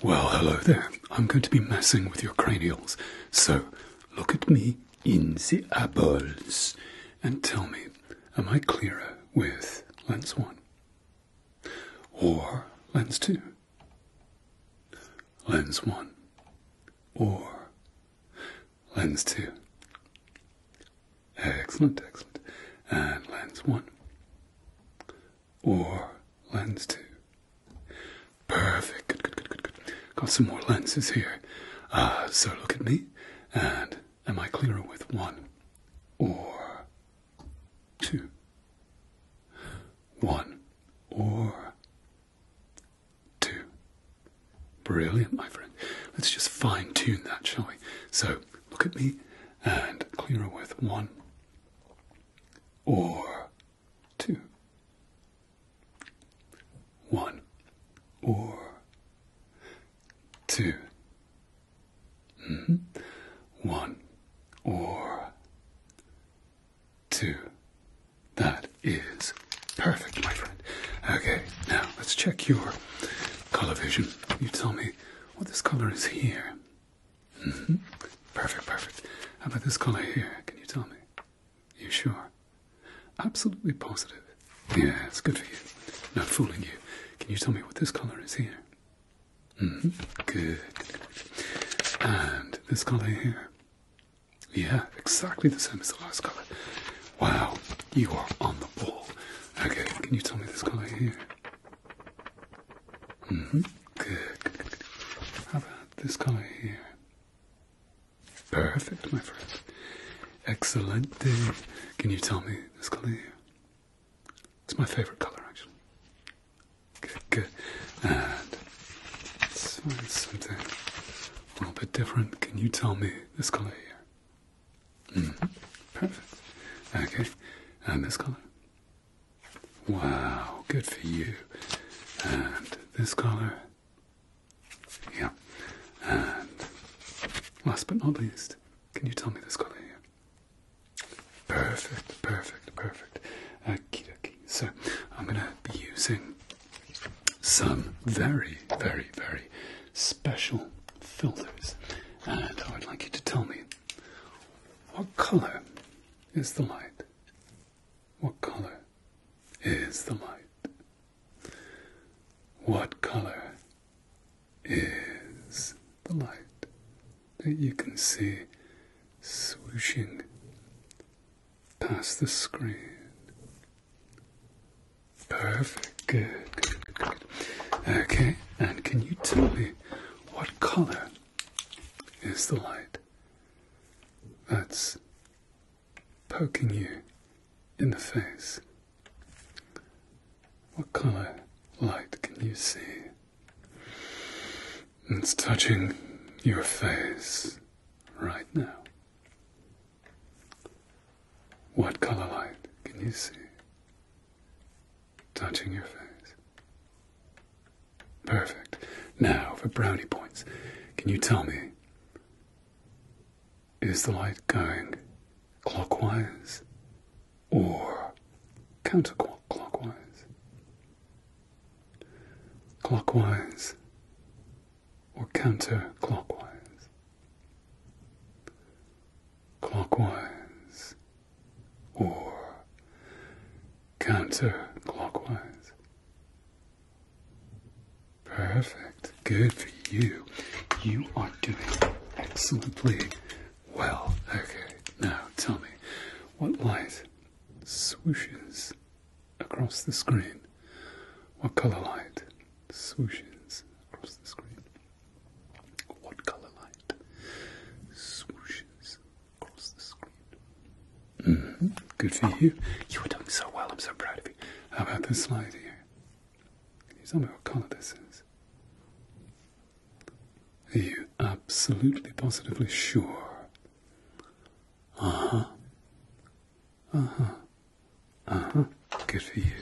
Well, hello there. I'm going to be messing with your cranials. So, look at me in the eyeballs and tell me, am I clearer with lens 1 or lens 2? Lens 1 or lens 2? Excellent, excellent. And lens 1 or lens two. Perfect. Good, good, good, good, good. Got some more lenses here. Uh, so look at me, and am I clearer with one or two? One or two. Brilliant, my friend. Let's just fine tune that, shall we? So look at me, and clearer with one or two. One or two. Hmm? One or two. That is perfect, my friend. Okay, now let's check your color vision. You tell me what this color is here. Mm-hmm. Perfect, perfect. How about this color here? Can you tell me? You sure? Absolutely positive. Yeah, it's good for you. Not fooling you. Can you tell me what this color is here? -hmm. Good. And this color here? Yeah, exactly the same as the last color. Wow, you are on the ball. Okay, can you tell me this color here? hmm. Good, How about this color here? Perfect, my friend. Excellent. Can you tell me this color here? It's my favorite color, actually. Good, good. And let's find something a little bit different. Can you tell me this color here? -hmm. Perfect. Okay. And this color? Wow, good for you. And this colour. Yeah. And last but not least, can you tell me this colour here? Perfect, perfect, perfect. Okie dokie. So I'm going to be using some very, very, very special filters. And I would like you to tell me what color is the light? What color is the light? What color is the light that you can see swooshing past the screen? Perfect. Good, good, Okay, and can you tell me what color is the light that's poking you in the face. What color light can you see? It's touching your face right now. What color light can you see? touching your face. Perfect. Now for brownie points. Can you tell me? Is the light going clockwise or counterclockwise? Clockwise or counterclockwise? Clockwise or counterclockwise. Perfect. Good for you. You are doing excellently well. Okay, now tell me what light swooshes across the screen? What color light swooshes across the screen? What color light swooshes Mm-hmm. Good for you. You were doing so well. I'm so proud of you. How about this slide here? you what color this is? Are you absolutely positively sure? Uh Uh huh. Uh huh. Uh-huh. Good for you.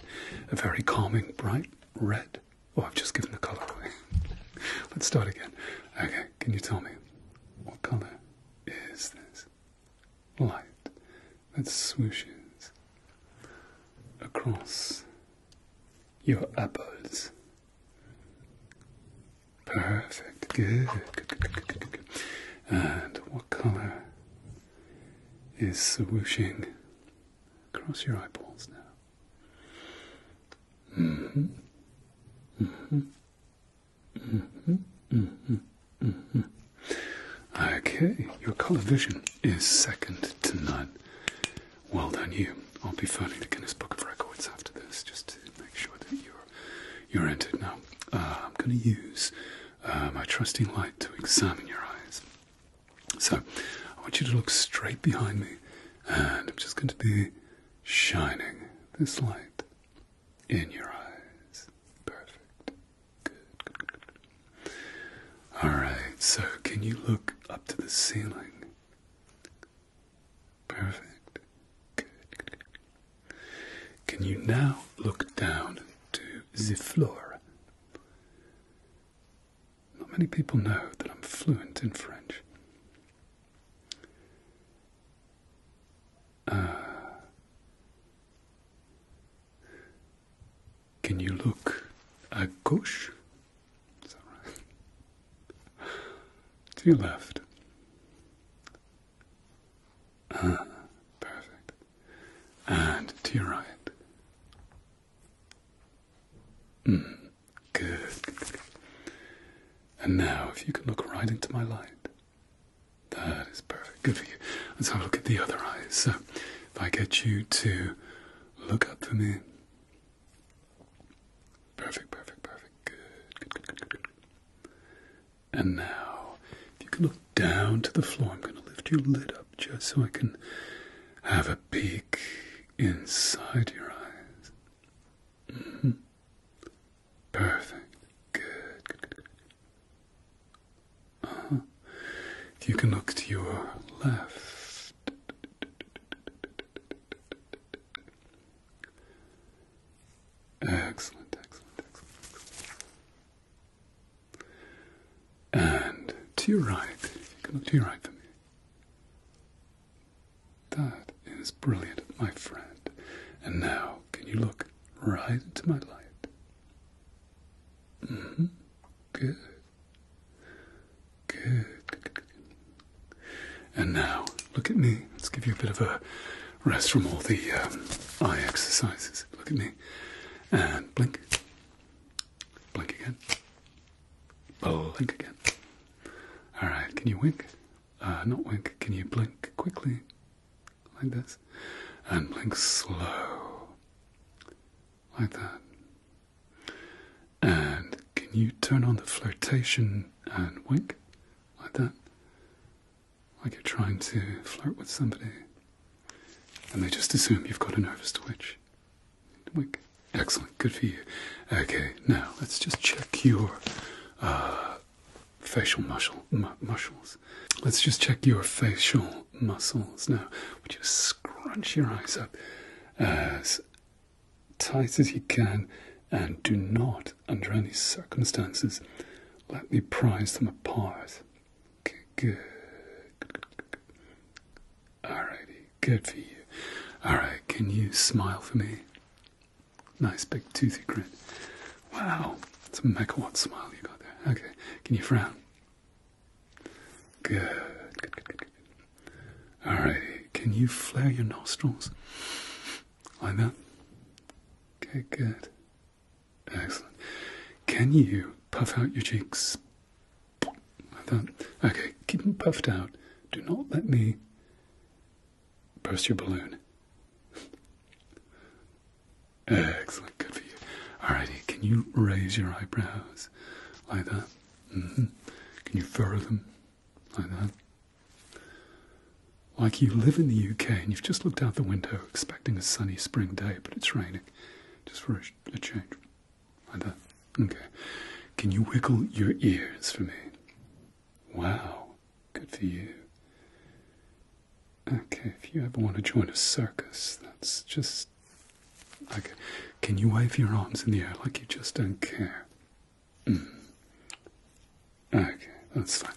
A very calming, bright red. Oh, I've just given the colour away. Let's start again. Okay, can you tell me what colour is this light that swooshes across your eyeballs? Perfect. good. And what colour is swooshing across your eyeballs now? Mm-hmm. Mm-hmm. Mm-hmm. hmm hmm Okay, your colour vision is second to none. Well done, you. I'll be filing the Guinness Book of Records after this just to make sure that you're you're entered. Now, uh, I'm going to use uh, my trusting light to examine your eyes. So, I want you to look straight behind me, and I'm just going to be shining this light in your eyes. Perfect. Good, good, good, good. Alright, so can you look up to the ceiling? Perfect. Good, good. Can you now look down to the floor? Not many people know that I'm fluent in French. Uh, can you look à gauche? to your left. Ah, perfect. And to your right. Hmm. Good, And now, if you can look right into my light, that is perfect. Good for you. Let's have a look at the other eyes. So, if I get you to look up for me. Perfect, perfect, perfect. good. And now, if you can look down to the floor, I'm going to lift your lid up just so I can have a peek inside your eyes. Perfect. Good. Uh-huh. You can look to your left. Excellent, excellent. And to your right, you can look to your right for me. That is brilliant, my friend. And now, can you look right into my light? Mm-hmm. Good. Good. And now, look at me. Let's give you a bit of a rest from all the um, eye exercises. Look at me. And blink. Blink again blink oh, again. Alright, can you wink? Uh, not wink, can you blink quickly? Like this. And blink slow. Like that. And can you turn on the flirtation and wink? Like that. Like you're trying to flirt with somebody. And they just assume you've got a nervous twitch excellent, good for you. Okay, now let's just check your uh, facial muscle muscles. Let's just check your facial muscles now. Just scrunch your eyes up as tight as you can, and do not, under any circumstances, let me prise them apart. good. good, good, Good for you. Alright, can you smile for me? Nice big toothy grin. Wow, it's a megawatt smile you got there. Okay, can you frown? Good, good, good, good, good. Alrighty, can you flare your nostrils? Like that? Okay, good. Excellent. Can you puff out your cheeks? Like that? Okay, keep them puffed out. Do not let me Burst your balloon. Excellent, good for you. All righty, can you raise your eyebrows like that? Mm-hmm. Can you furrow them like that? Like you live in the UK and you've just looked out the window expecting a sunny spring day, but it's raining just for a change. Like that? Okay. Can you wiggle your ears for me? Wow. Good for you. Okay, if you ever want to join a circus, that's just like, can you wave your arms in the air like you just don't care? Mm. Okay, that's fine.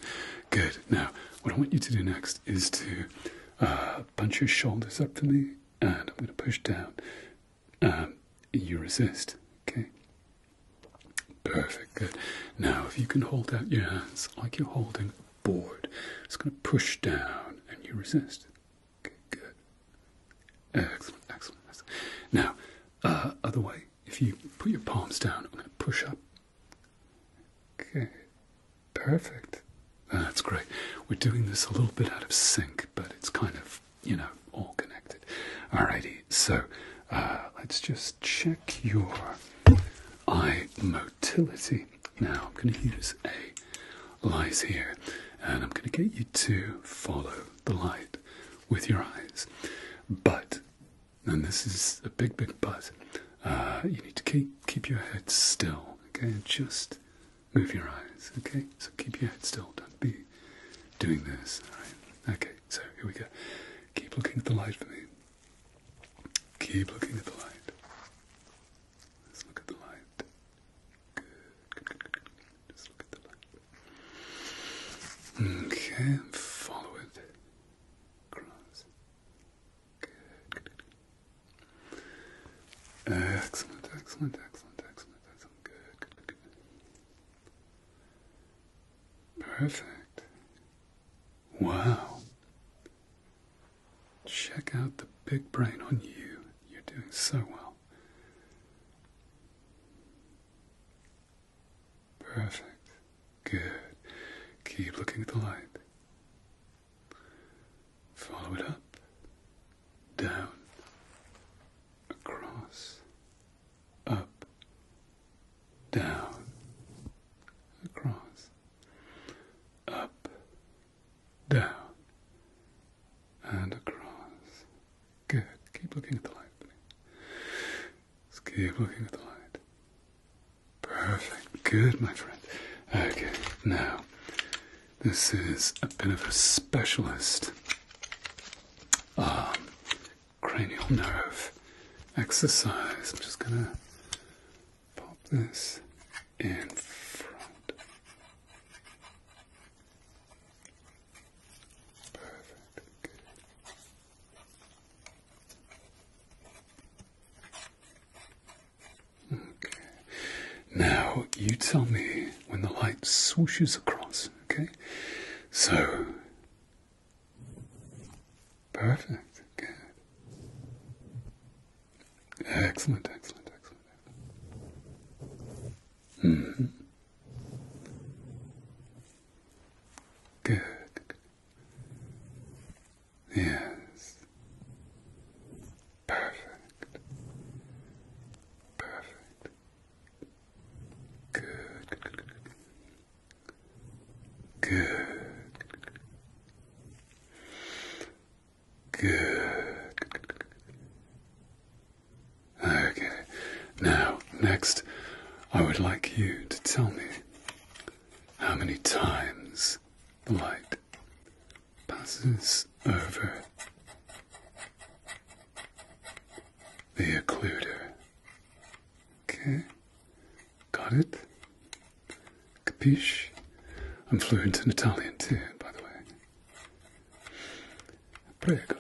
Good. Now, what I want you to do next is to uh, punch your shoulders up for me, and I'm going to push down. Um, you resist. Okay. Perfect. Good. Now, if you can hold out your hands like you're holding a board, it's going to push down and you resist. Okay, good. Excellent, excellent, excellent. Now, uh, other way, if you put your palms down, I'm going to push up. Okay, perfect. That's great. We're doing this a little bit out of sync, but it's kind of you know, all connected. Alrighty, so uh, let's just check your eye motility. Now I'm going to use a light here, and I'm going to get you to follow the light with your eyes. But, and this is a big, big but, uh, you need to keep keep your head still. Okay, just move your eyes. Okay, so keep your head still. Don't be doing doing this. Alright. Okay, so here we go. Keep looking at the light for me. Keep looking at the light. Let's look at the light. Good, good, good, good. Just look at the light. Okay, follow it. Cross. Good, good, good. Excellent, excellent, excellent, excellent, excellent. Good, good, good, good. Perfect. Wow. Check out the big brain on you. You're doing so well. Perfect. Good. Keep looking at the light. Follow it up. Down across, up, down, across, up, down, and across. Good. Keep looking at the light, keep looking at the light. Perfect. Good, my friend. Okay, now, this is a bit of a specialist arm, ah, cranial nerve exercise. I'm just going to pop this in front. Perfect. Okay. Now, you tell me when the light swooshes across Okay, so perfect. Good. Excellent. Excellent. Excellent. excellent. Mm hmm. Good. Yes. Perfect. Perfect. Good, good, good, Okay. Now, next, I would like you to tell me how many times the light passes over the occluder. Okay, got it? Capiche? I'm fluent in Italian too, by the way. Prego.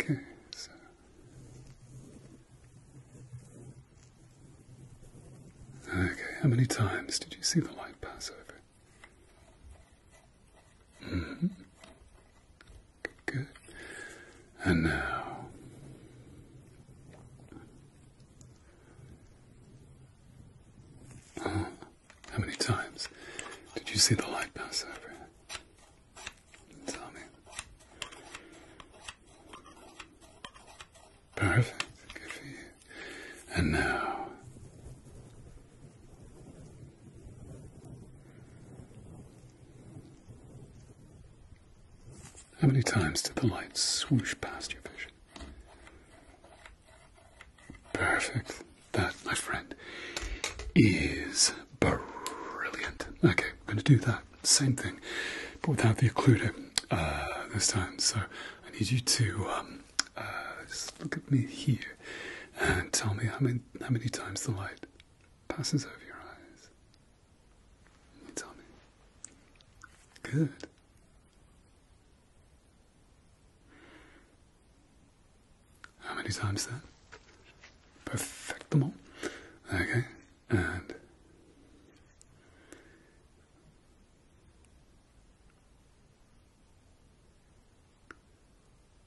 Okay, Okay, how many times did you see the light pass over? Mm-hmm. Good, And now uh, how many times did you see the light pass over? Tell me. Perfect. Good for you. And now how many times did the light swoosh past your vision? Perfect. That, my friend, is brilliant. Okay, I'm going to do that same thing, but without the occluder uh, this time. So I need you to um, uh, look at me here and tell me I'm in how many times the light passes over your eyes. tell me. Good. How many times that? Perfect them all. Okay, and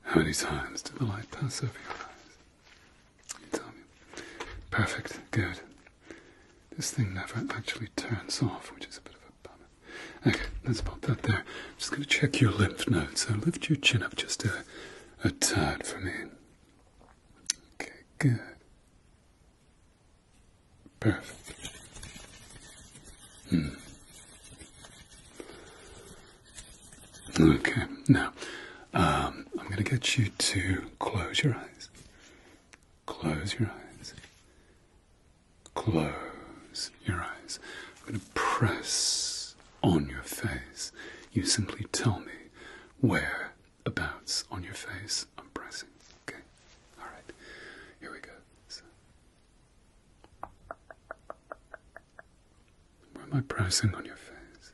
how many times did the light pass over your eyes? You tell me. Perfect, good. This thing never actually turns off, which is a bit of a bummer. Okay, let's pop that there. I'm just going to check your lymph nodes, so lift your chin up just a, a tad for me. Okay, good. Perfect. Hmm. Okay, now um, I'm going to get you to close your eyes. Close your eyes. Close your eyes. I'm going to press on your face. You simply tell me whereabouts on your face I'm pressing. Okay, all right. Here we go. Where am I pressing on your face?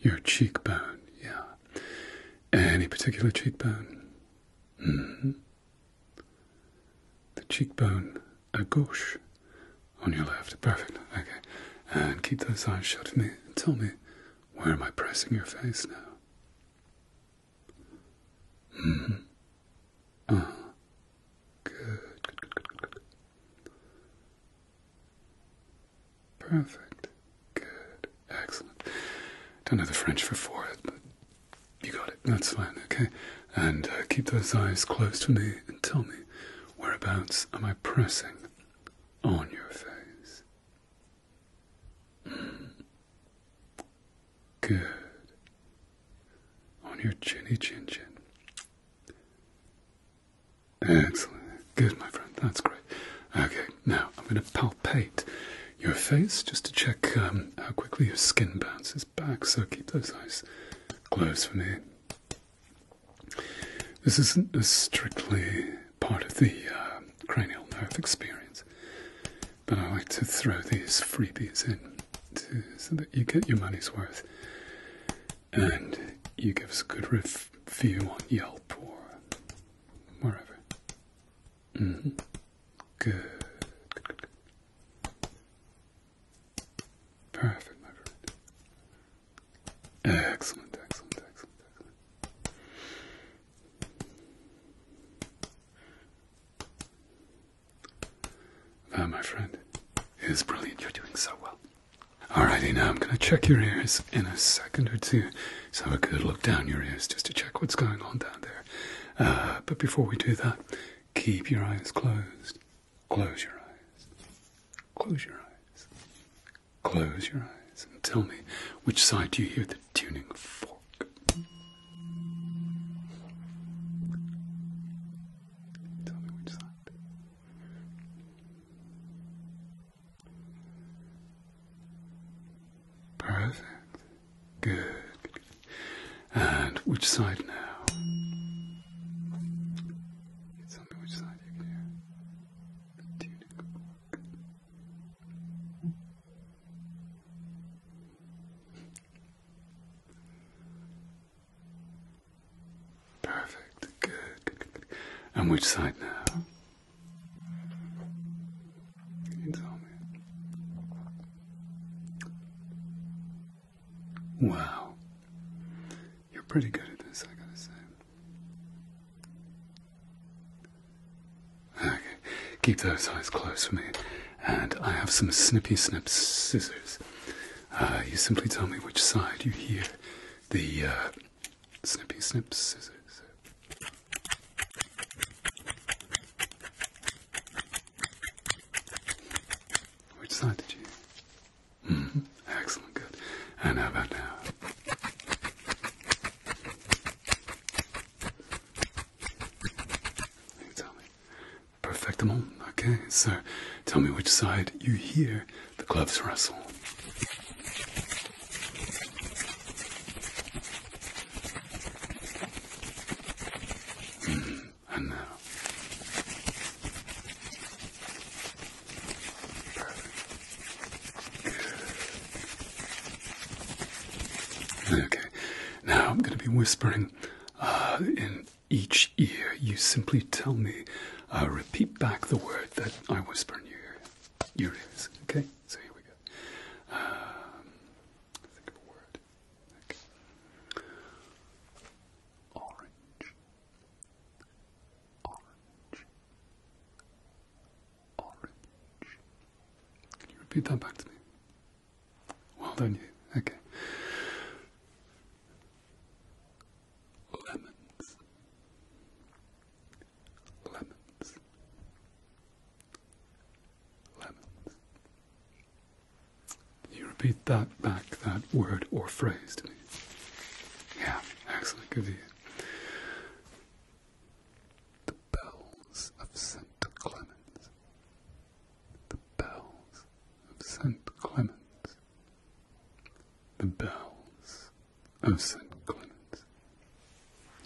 Your cheekbone, yeah. Any particular cheekbone? Mm-hmm. The cheekbone à gauche on your left. Perfect. Okay. And keep those eyes shut for me tell me where am I pressing your face now? Mm-hmm. Uh, good, good, good, Perfect. Good. Excellent. Don't know the French for forehead, but you got it. That's fine, okay? And uh, keep those eyes closed to me and tell me whereabouts am I pressing on your face. Hmm. Good on your chinny chin chin. Excellent. Good, my friend. That's great. Okay, now I'm going to palpate your face just to check um, how quickly your skin bounces back, so keep those eyes closed for me. This isn't strictly part of the uh, cranial nerve experience, but I like to throw these freebies in so that you get your money's worth and you give us a good review on Yelp or whatever. Good. Mm-hmm. Good, good, good. Perfect, my Excellent, excellent, excellent, excellent. Ah, my friend, is brilliant. You're doing so well. Alrighty, now I'm going to check your ears in a second or two. So have a good look down your ears just to check what's going on down there. Uh, but before we do that, keep your eyes closed. Close your eyes. Close your eyes. Close your eyes and tell me which side do you hear the tuning fork? which side. Perfect. Good. And which side now? tell me which side you can hear. Perfect. Good, And which side now? You Wow. You're pretty good at this, I gotta say. Okay, keep those eyes closed for me, and I have some snippy snip scissors. Uh, you simply tell me which side you hear the uh, snippy snip scissors. Which side did you? Mm-hmm. Excellent, good. And how about now? tell me. Perfectimal. Okay, sir. tell me which side you hear the gloves rustle. Hmm, and now. Perfect. Good. Okay, now I'm going to be whispering uh, in each ear, you simply tell me, uh, repeat back the word that I whisper in your ear. Your ears, okay? So here we go. Um, think of a word. Okay. Orange. Orange. Orange. Can you repeat that back to me? Well done, you. Okay. Lemons. Lemons. Lemons. You repeat that back, that word or phrase to me. Yeah, excellent. Good The bells of St. Clemens the bells of St. Clements. the bells of St. Clements.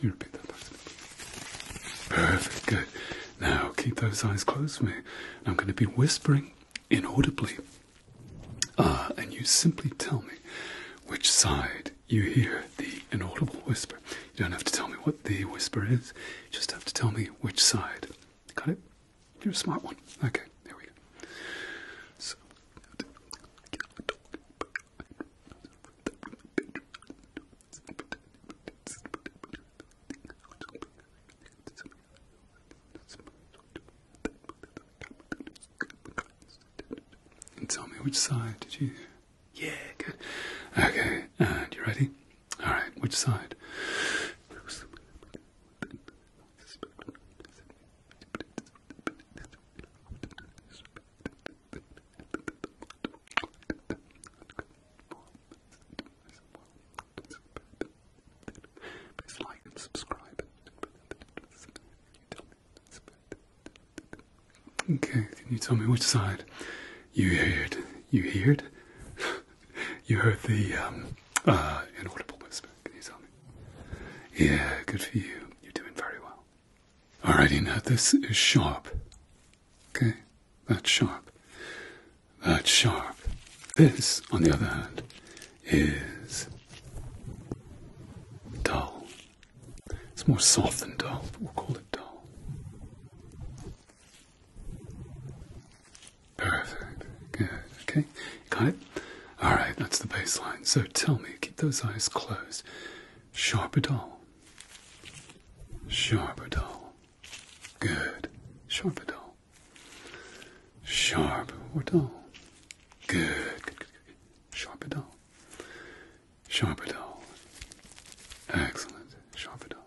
You repeat that Perfect, good. Now keep those eyes closed for me. I'm going to be whispering inaudibly. Ah, and you simply tell me which side you hear the inaudible whisper. You don't have to tell me what the whisper is, you just have to tell me which side Got it? You're a smart one. Okay, there we go. So, and tell me which side did you? Yeah, good. Okay, and you ready? All right, which side? Please like and subscribe. Okay, can you tell me which side? You hear it. You hear it? You heard the um, uh, inaudible whisper. Can you tell me? Yeah, good for you. You're doing very well. All righty now this is sharp. Okay, that's sharp. That's sharp. This, on the other hand, is dull. It's more soft than dull, but we'll call it dull. Perfect. Good. Okay. got it? All right. That's the baseline. So tell me, keep those eyes closed. Sharp at all. Sharp at all. Good. Sharp at all. Sharp or dull. Good. Good, good, good. Sharp at all. Sharp at all. Excellent. Sharp at all.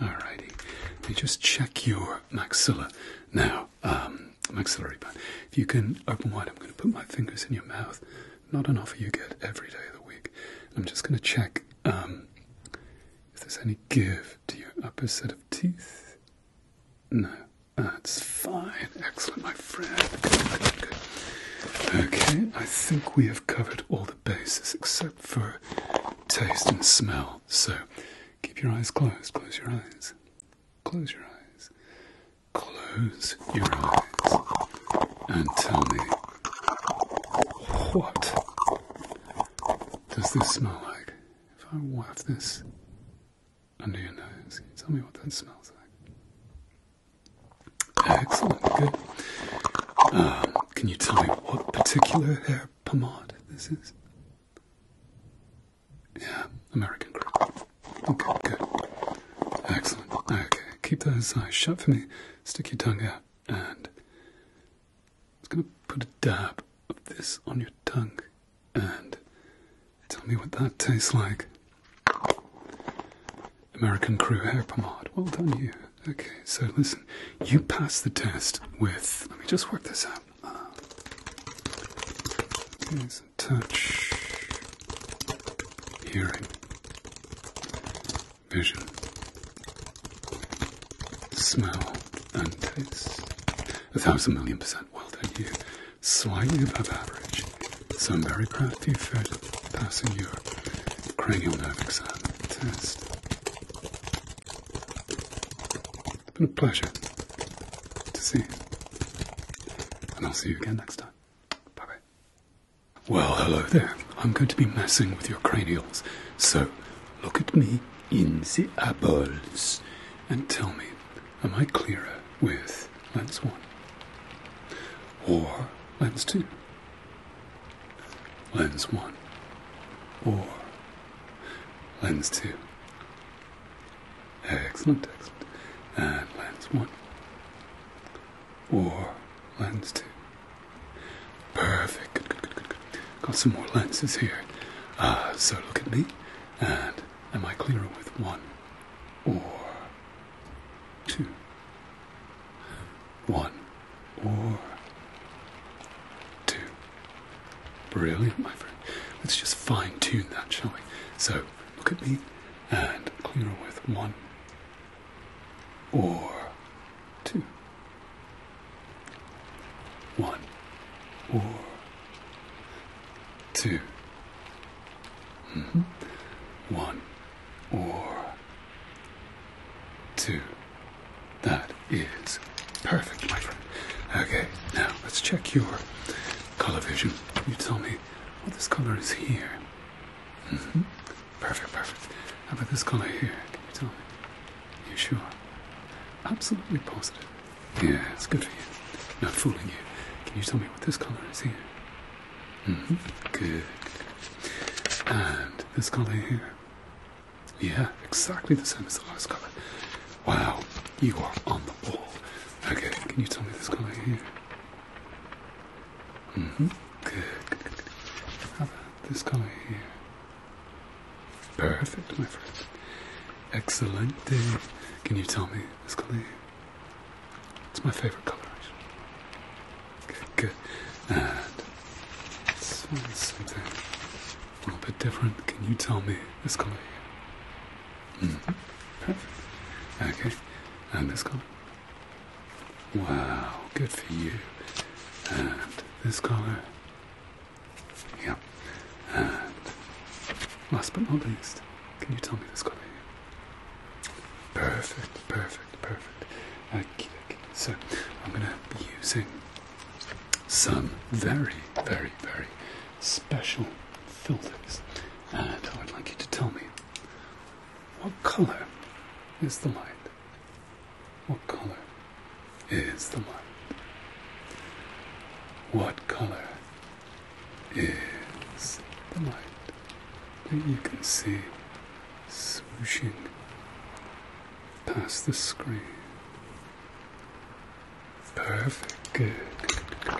Alrighty. Let me just check your maxilla now. Um, maxillary band. If you can open wide, I'm going to put my fingers in your mouth. Not an offer you get every day of the week. I'm just going to check um, if there's any give to your upper set of teeth. No. That's fine. Excellent, my friend. Okay, I think we have covered all the bases except for taste and smell. So Keep your eyes closed. Close your eyes. Close your eyes. Close your eyes. And tell me, what does this smell like? If I waft this under your nose, tell me what that smells like. Excellent. Good. Um, can you tell me what particular hair pomade this is? Yeah, American crew. Okay, good. Excellent. Okay, keep those eyes shut for me. Stick your tongue out, and I'm going to put a dab of this on your tongue, and tell me what that tastes like. American Crew hair pomade. Well done, you. Okay, so listen, you passed the test with. Let me just work this out um, a touch, hearing, vision, smell, and taste. A thousand million percent well done you. Slightly above average, so I'm very proud of you passing your cranial nerve exam test. It's been a pleasure to see you. And I'll see you again next time. Bye bye. Well, hello there. I'm going to be messing with your cranials. So look at me in the apples and tell me, am I clearer with lens 1 or lens 2? Lens 1 or lens 2. Excellent, text, And lens 1. Or lens 2. Perfect, Got some more lenses here. Uh, so look at me, and am I clearer with one or two? One or two. Brilliant, my friend. Let's just fine tune that, shall we? So, look at me and clear with one or two. One or two. -hmm. One or two. That is perfect, my friend. Okay, now let's check your color vision. you tell me what this color is here? Mm -hmm. Perfect, perfect. How about this color here? Can you tell me? You sure? Absolutely positive. Yeah, it's good for you. Not fooling you. Can you tell me what this color is here? Mm -hmm. Good. And this color here? Yeah, exactly the same as the last colour. Wow, you are on the ball. Okay, can you tell me this colour here? hmm Good, How about this colour here? Perfect, my friend. Excellent. Can you tell me this colour It's my favourite colour, actually. Good, good. And this something a little bit different. Can you tell me this color -hmm. Perfect. Okay, and this color. Wow, good for you. And this color. Yep. And last but not least, can you tell me this color Perfect, perfect, perfect. okay. So I'm gonna be using some very, very, very special filters. And I would like you to tell me what color is the light? What color is the light? What color is the light that you can see swooshing past the screen? Perfect. Good.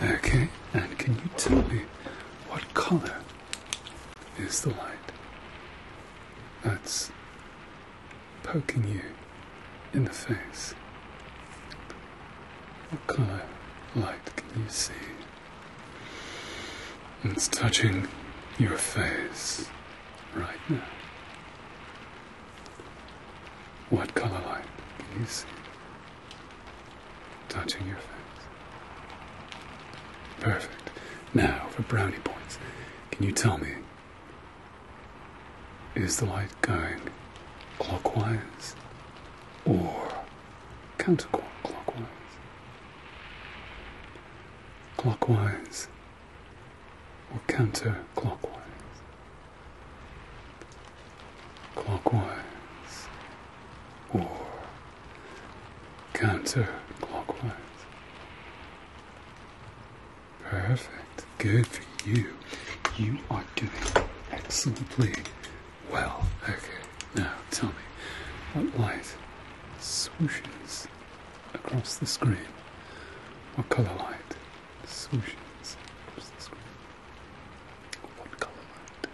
Okay. And can you tell me what color is the light that's poking you in the face? What color light can you see? It's touching your face right now. What color light can you see touching your face? Perfect. Now for brownie points. Can you tell me, is the light going clockwise or counterclockwise? Clockwise or counterclockwise. Clockwise or counterclockwise. Perfect. Good for you. You are doing excellently well. Okay, now tell me what light swooshes across the screen what colour light swooshes across the screen. One colour light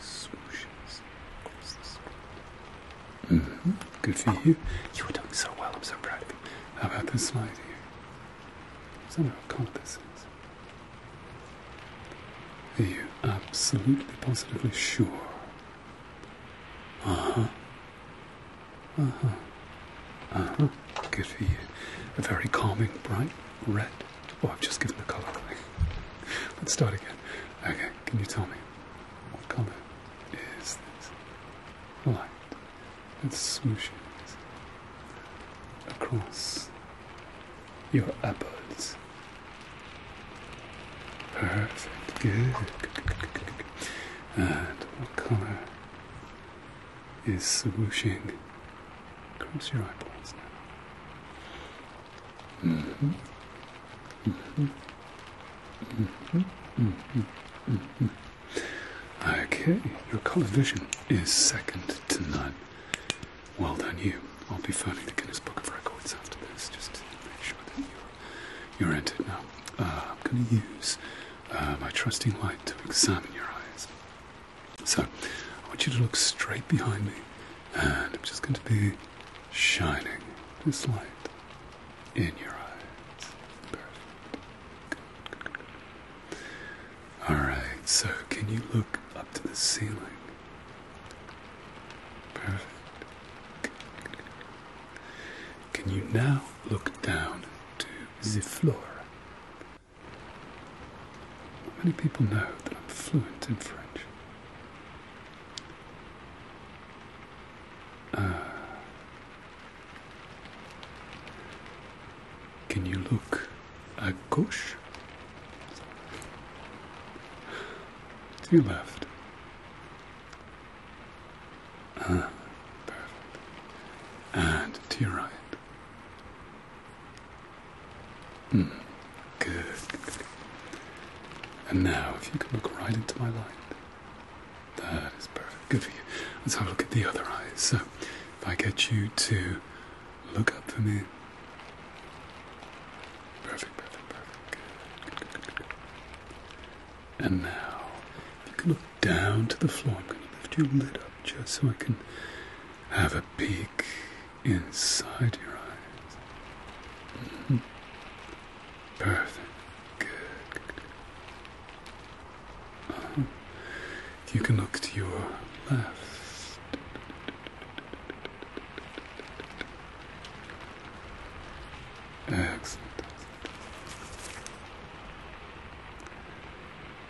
swooshes across the screen. Mm-hmm. Good for you. You were doing so well, I'm so proud of you. How about this slide here? I don't know this is. Are you absolutely positively sure uh-huh. Uh-huh. Uh-huh. Good for you. A very calming, bright red. Oh, I've just given the colour away. Let's start again. Okay, can you tell me what colour is this? Light. It swooshes across your apples? Perfect. good and what colour is swooshing across your eyeballs now? Mm-hmm. Mm-hmm. Mm-hmm. hmm hmm Okay, your colour vision is second to none. Well done, you. I'll be filing the Guinness Book of Records after this just make sure that you you are entered now. I'm going to use uh, my trusting light to examine your eyes. So, I want you to look straight behind me, and I'm just going to be shining this light in your eyes. Perfect. Alright, so can you look up to the ceiling? Perfect. Can you now look down to the floor? many people know that I'm fluent in French. Ah. can you look à gauche? To your left perfect. And to your right. Hmm. Good, And now, if you can look right into my light. That is perfect. Good for you. Let's have a look at the other eyes. So, if I get you to look up for me. Perfect, perfect, perfect. And now, you can look down to the floor, I'm going to lift your lid up just so I can have a peek inside your eyes. Mm-hmm. Perfect. Good. you can look to your left. Excellent,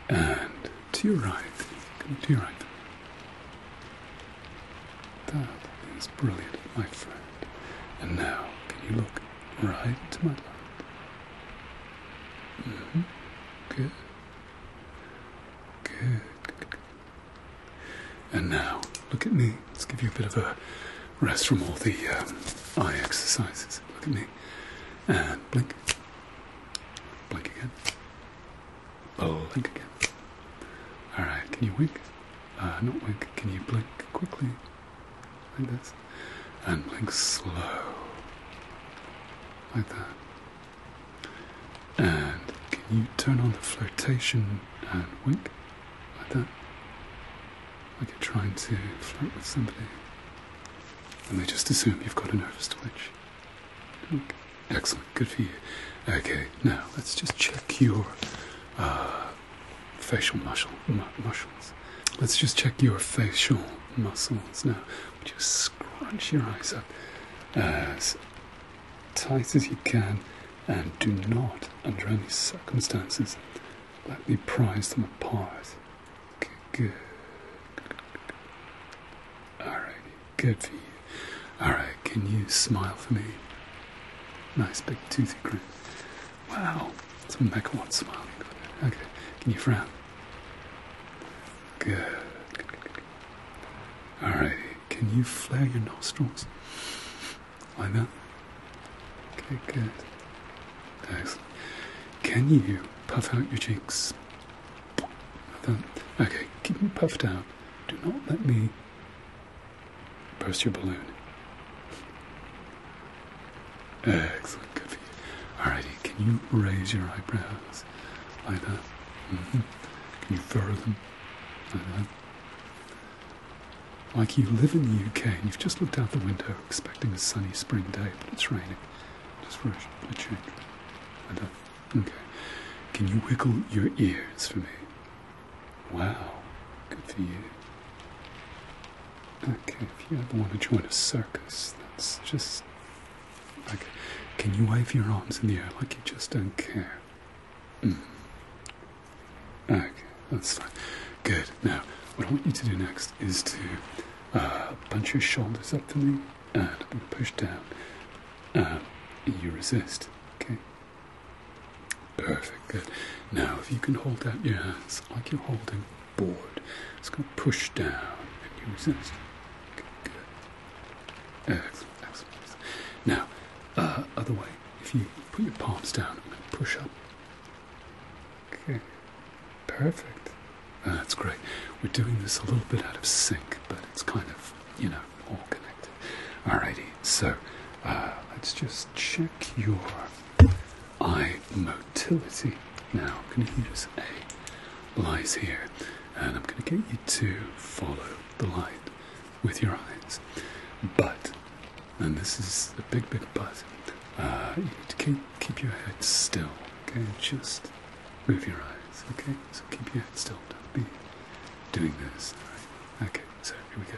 And to your right, to your right. That is brilliant, my friend. And now, can you look right to my left? -hmm. Good. Good. And now, look at me. Let's give you a bit of a rest from all the um, eye exercises. Look at me. And blink. Blink again. Oh. Blink again. Alright, can you wink? Uh, not wink. Can you blink quickly? Like this. And blink slow. Like that. And can you turn on the flirtation and wink? like that. Like you're trying to flirt with somebody. And they just assume you've got a nervous twitch. Excellent, good for you. Okay, now let's just check your uh, facial muscles. Let's just check your facial muscles now. Just scrunch your eyes up uh, as tight as you can and do not, under any circumstances, let me prise them apart. Okay, good. Alrighty, good for you. Alright, can you smile for me? Nice big toothy grin. Wow, it's a mega one smiling. Okay, can you frown? Good. good, good, can you flare your nostrils? Like that? Okay, good. Excellent. Can you puff out your cheeks? Okay, keep them puffed out. Do not let me burst your balloon. Excellent, good for you. Alrighty, can you raise your eyebrows like that? Mm-hmm. Can you fur them like you live in the UK and you've just looked out the window expecting a sunny spring day, but it's raining. Just for a uh, Okay. Can you wiggle your ears for me? Wow. Good for you. Okay, if you ever want to join a circus, that's just. like. Can you wave your arms in the air like you just don't care? Mm. Okay, that's fine. Good. Now, what I want you to do next is to punch uh, your shoulders up to me and push down. And um, you resist. Okay? Perfect. Good. Now, if you can hold out your hands like you're holding board, it's going to push down and you resist. good. Excellent. Now, uh, other way, if you put your palms down, i push up Okay, perfect. Ah, that's great. We're doing this a little bit out of sync, but it's kind of, you know, all connected. Alrighty, so uh, let's just check your eye motility. Now, I'm going to use a light here, and I'm going to get you to follow the light with your eyes. But and this is a big, big puzzle. Uh, you need to keep, keep your head still, okay? Just move your eyes, okay? So keep your head still. Don't be doing this, Okay, so here we go.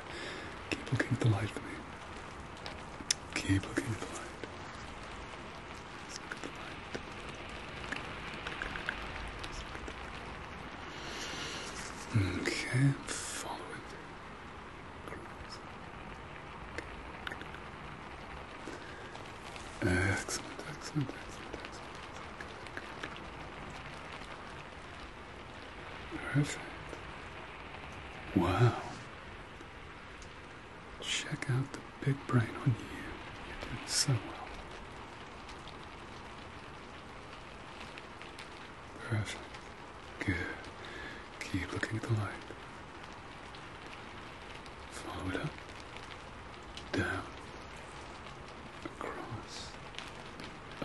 Keep looking at the light for me. Keep looking at the light. Let's at the light. Okay, follow it. Excellent, excellent, excellent, excellent. Perfect. Wow. Check out the big brain on you. You're doing so well. Perfect. Good. Keep looking at the light. Follow Down. Across.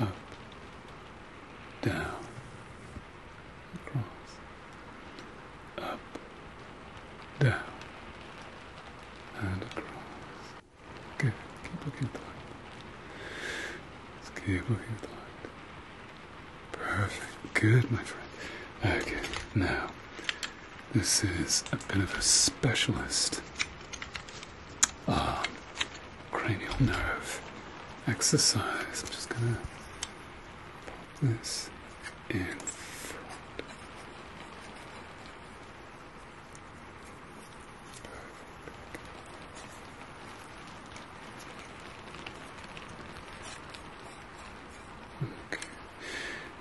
Up. Down. Across. Up. Down. And across. Good. Keep looking at the light. keep looking at the light. Perfect. Good, my friend. Okay, now, this is a bit of a specialist um, cranial nerve exercise. I'm just gonna pop this in front.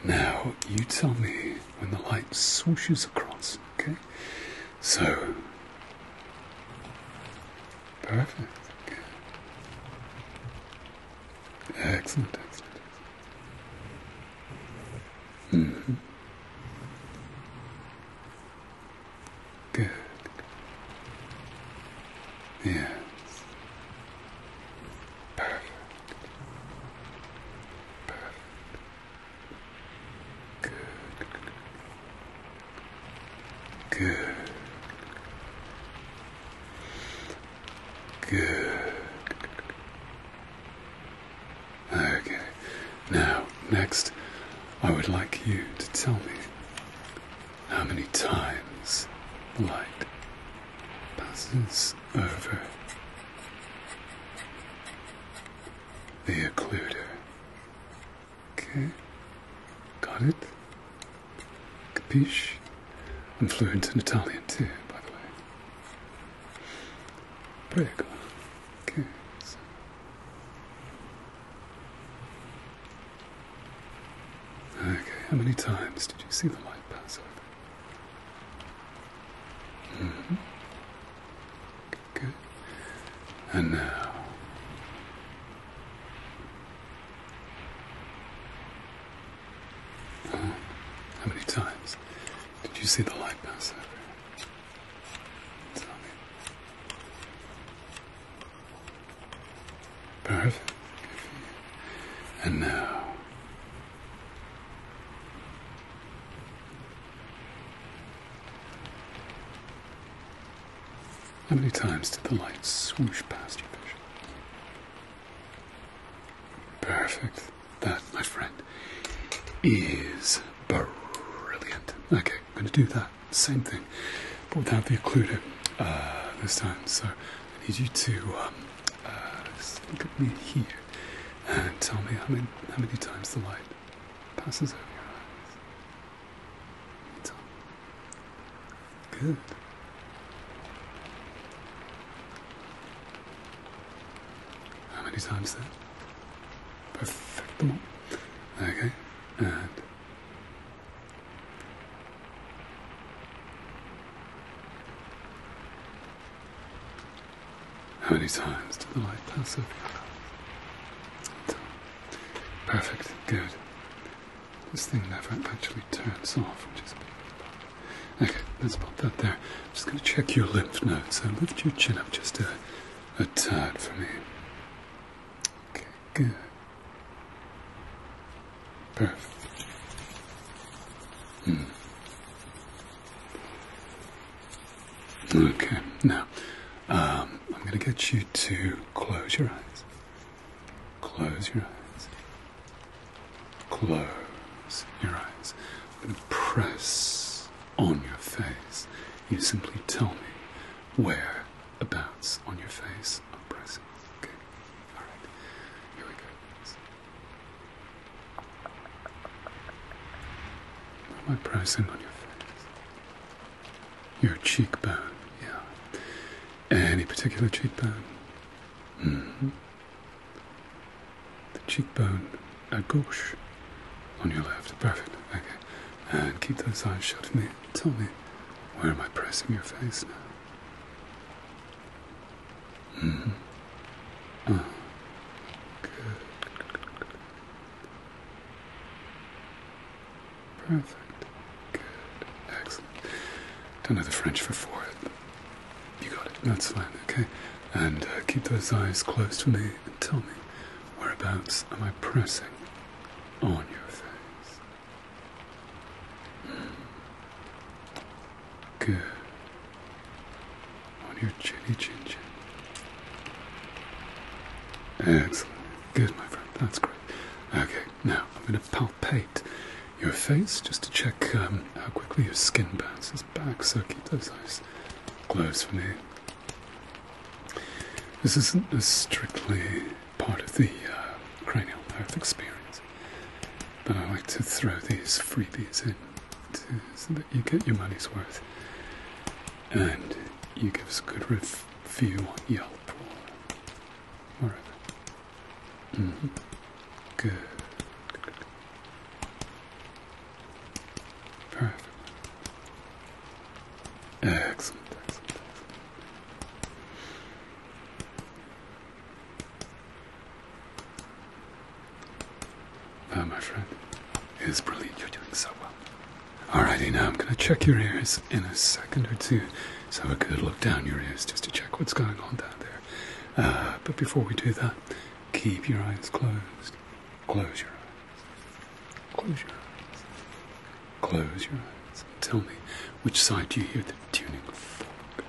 Now, you tell me when the light swooshes across, okay? So, perfect. Excellent, -hmm. Good. Yes. Perfect. Perfect. Good. Good. Good. Okay. Now, next, I would like you to tell me how many times the light passes over the occluder. Okay, got it? Capiche? I'm fluent in Italian too, by the way. Prego. Okay. Okay, how many times did you see the light pass over? Mm-hmm. Good. And now. Uh-huh. how many times did you see the light pass over? Perfect. And now. How many times did the light swoosh past your vision? Perfect. That, my friend, is brilliant. Okay, I'm going to do that same thing, but without the occluder uh, this time. So I need you to um, uh, look at me here and tell me how many, how many times the light passes over your eyes. Good. How many times then? Perfect them all. Okay, and how many times did the light pass over Perfect, good. This thing never actually turns off, Okay, let's pop that there. I'm just going to check your lymph nodes. lift your chin up just a, a tad for me. Okay. Good. Perfect. Mm. Okay, now um, I'm going to get you to close your eyes. Close your eyes. Close your eyes. I'm going to press on your face. You simply tell me where a bounce on your face. Oh, I'm pressing. Okay. All right. Here we go. What pressing on your face? Your cheekbone. Yeah. Any particular cheekbone? Mm-hmm. The cheekbone a gauche on your left. Perfect. Okay. And keep those eyes shut tell me, where am I pressing your face now? Mm hmm. Oh, good. Perfect. Good. Excellent. Don't know the French for forehead. You got it. That's fine, okay? And uh, keep those eyes closed for me and tell me whereabouts am I pressing on your face. Good. On your chinny chin chin. Excellent. Good, my friend. That's great. Okay, now I'm going to palpate your face just to check um, how quickly your skin bounces back. So keep those eyes closed for me. This isn't strictly part of the uh, cranial nerve experience, but I like to throw these freebies in so that you get your money's worth and you give us a good review on Yelp or mm-hmm. Good. Perfect. Excellent, Ah, my friend, it is brilliant. You're doing so well. Alrighty, now I'm going to check your ears in a second or two. So have a good look down your ears just to check what's going on down there. Uh, but before we do that, keep your eyes closed. Close your eyes. Close your eyes. Close your eyes. Tell me, which side do you hear the tuning fork?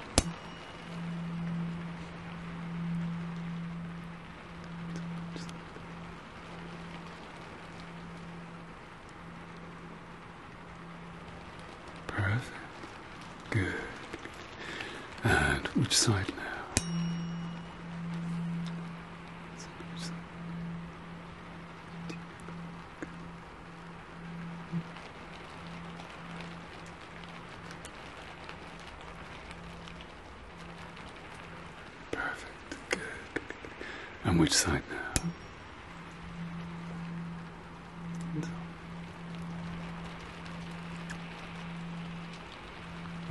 Perfect. Good. And which side now? Perfect, good. And which side now?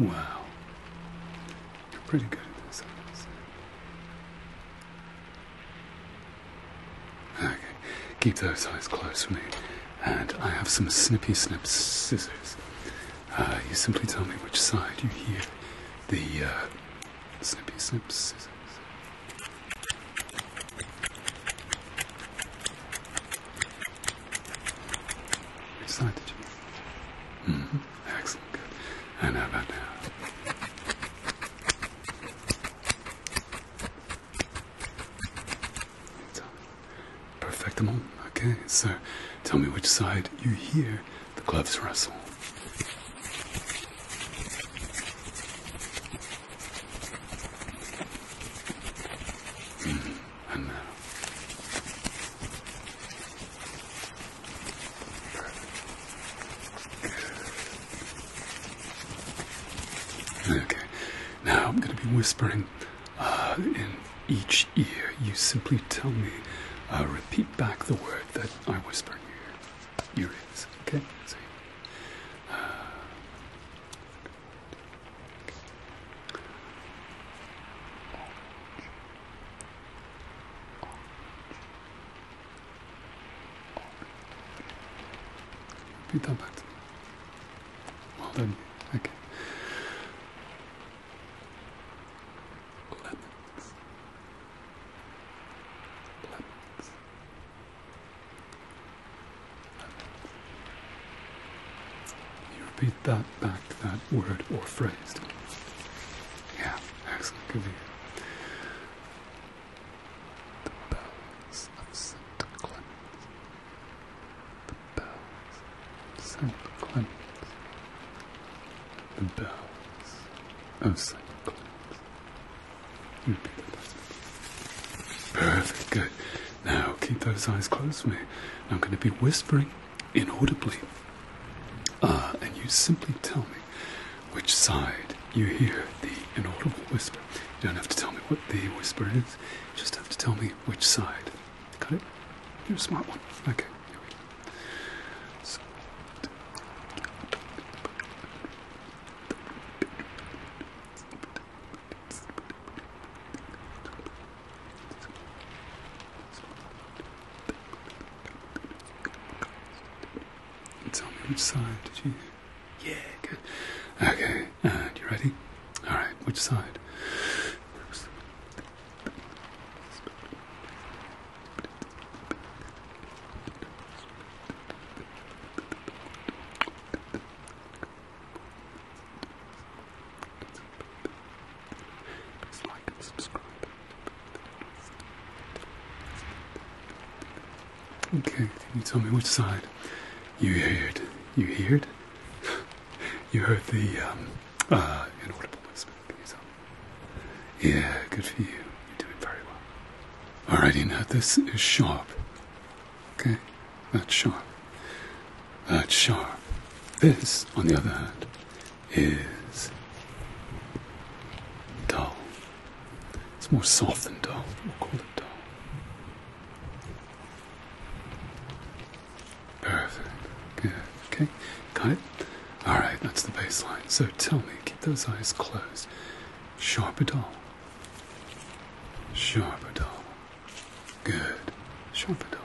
Wow. You're pretty good at this, Okay, keep those eyes closed for me. And I have some snippy snip scissors. Uh, you simply tell me which side you hear the uh, snippy snip scissors. Which side did you? Excellent, good. And about now? Perfectable. Okay, so tell me which side you hear the gloves rustle. Mm, and Okay, now I'm going to be whispering uh, in each ear. You simply tell me, uh, repeat back the word that I whisper to you. Okay? Repeat that back to me. Well done, you. Okay. Lemons. Lemons. Lemons. You repeat that back, that word or phrase. Yeah, excellent. Good The bells of St. Clements. The bells of St. Clements. The bells of St. Clements. Perfect, good. Now keep those eyes closed me. I'm going to be whispering inaudibly, ah, and you simply tell me which side you hear the inaudible whisper. You don't have to tell me what the whisper is, you just have to tell me which side. Got it? You're a smart one. Okay, Tell me which side did you. Yeah, good. Okay, and uh, you ready? Alright, which side? Okay, can you tell me which side you heard? You heard? you heard the um, uh, inaudible whisper. Yeah, good for you. You're doing very well. Alrighty, now this is sharp. Okay, that's sharp. That's sharp. This, on the other hand, is dull. It's more soft than dull. We'll call it dull. Perfect. Good. Okay. Got it? Alright, that's the baseline. So tell me, keep those eyes closed. Sharp or dull? Sharp or dull? Good. Sharp or dull?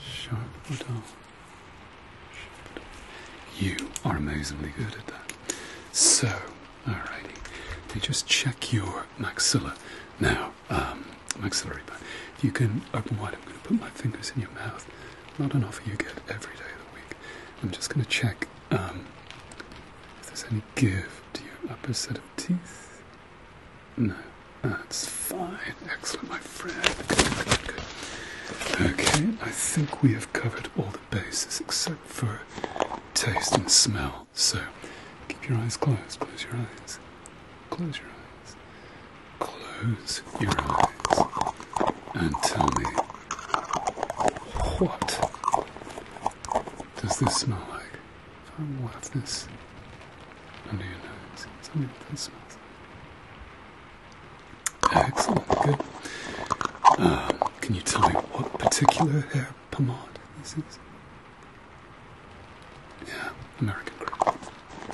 Sharp or dull? You are amazingly good at that. So, all righty. They just check your maxilla now, um, maxillary bone. you can open wide, I'm going to put my fingers in your mouth. Not an offer you get every day of the week. I'm just going to check um, if there's any give to your upper set of teeth. No, that's fine. Excellent, my friend. Okay, I think we have covered all the bases except for taste and smell. So keep your eyes closed. Close your eyes. Close your eyes. Close your eyes. And tell me what does this smell like? If I wafting this under your that smells Excellent, good. Um, can you tell me what particular hair pomade this is? Yeah, American Girl.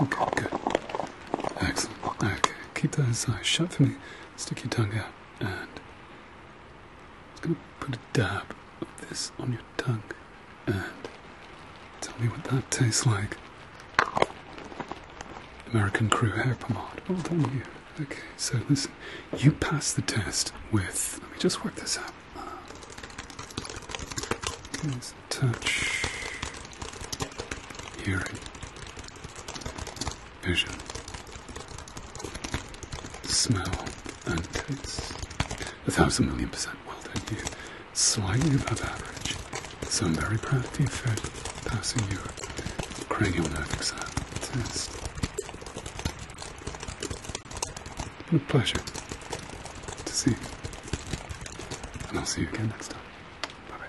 Okay, good. Excellent. Okay, keep those eyes shut for me. Stick your tongue out and I'm going to put a dab of this on your tongue. And tell me what that tastes like. American Crew hair pomade. Well done, you. Okay, so listen, you passed the test with. Let me just work this out. touch, hearing, vision, smell, and taste. A thousand million percent. Well done, you slightly above average. so I'm very proud of the effort passing your cranial nerve exam test. it a pleasure to see you. And I'll see you again next time. Bye bye.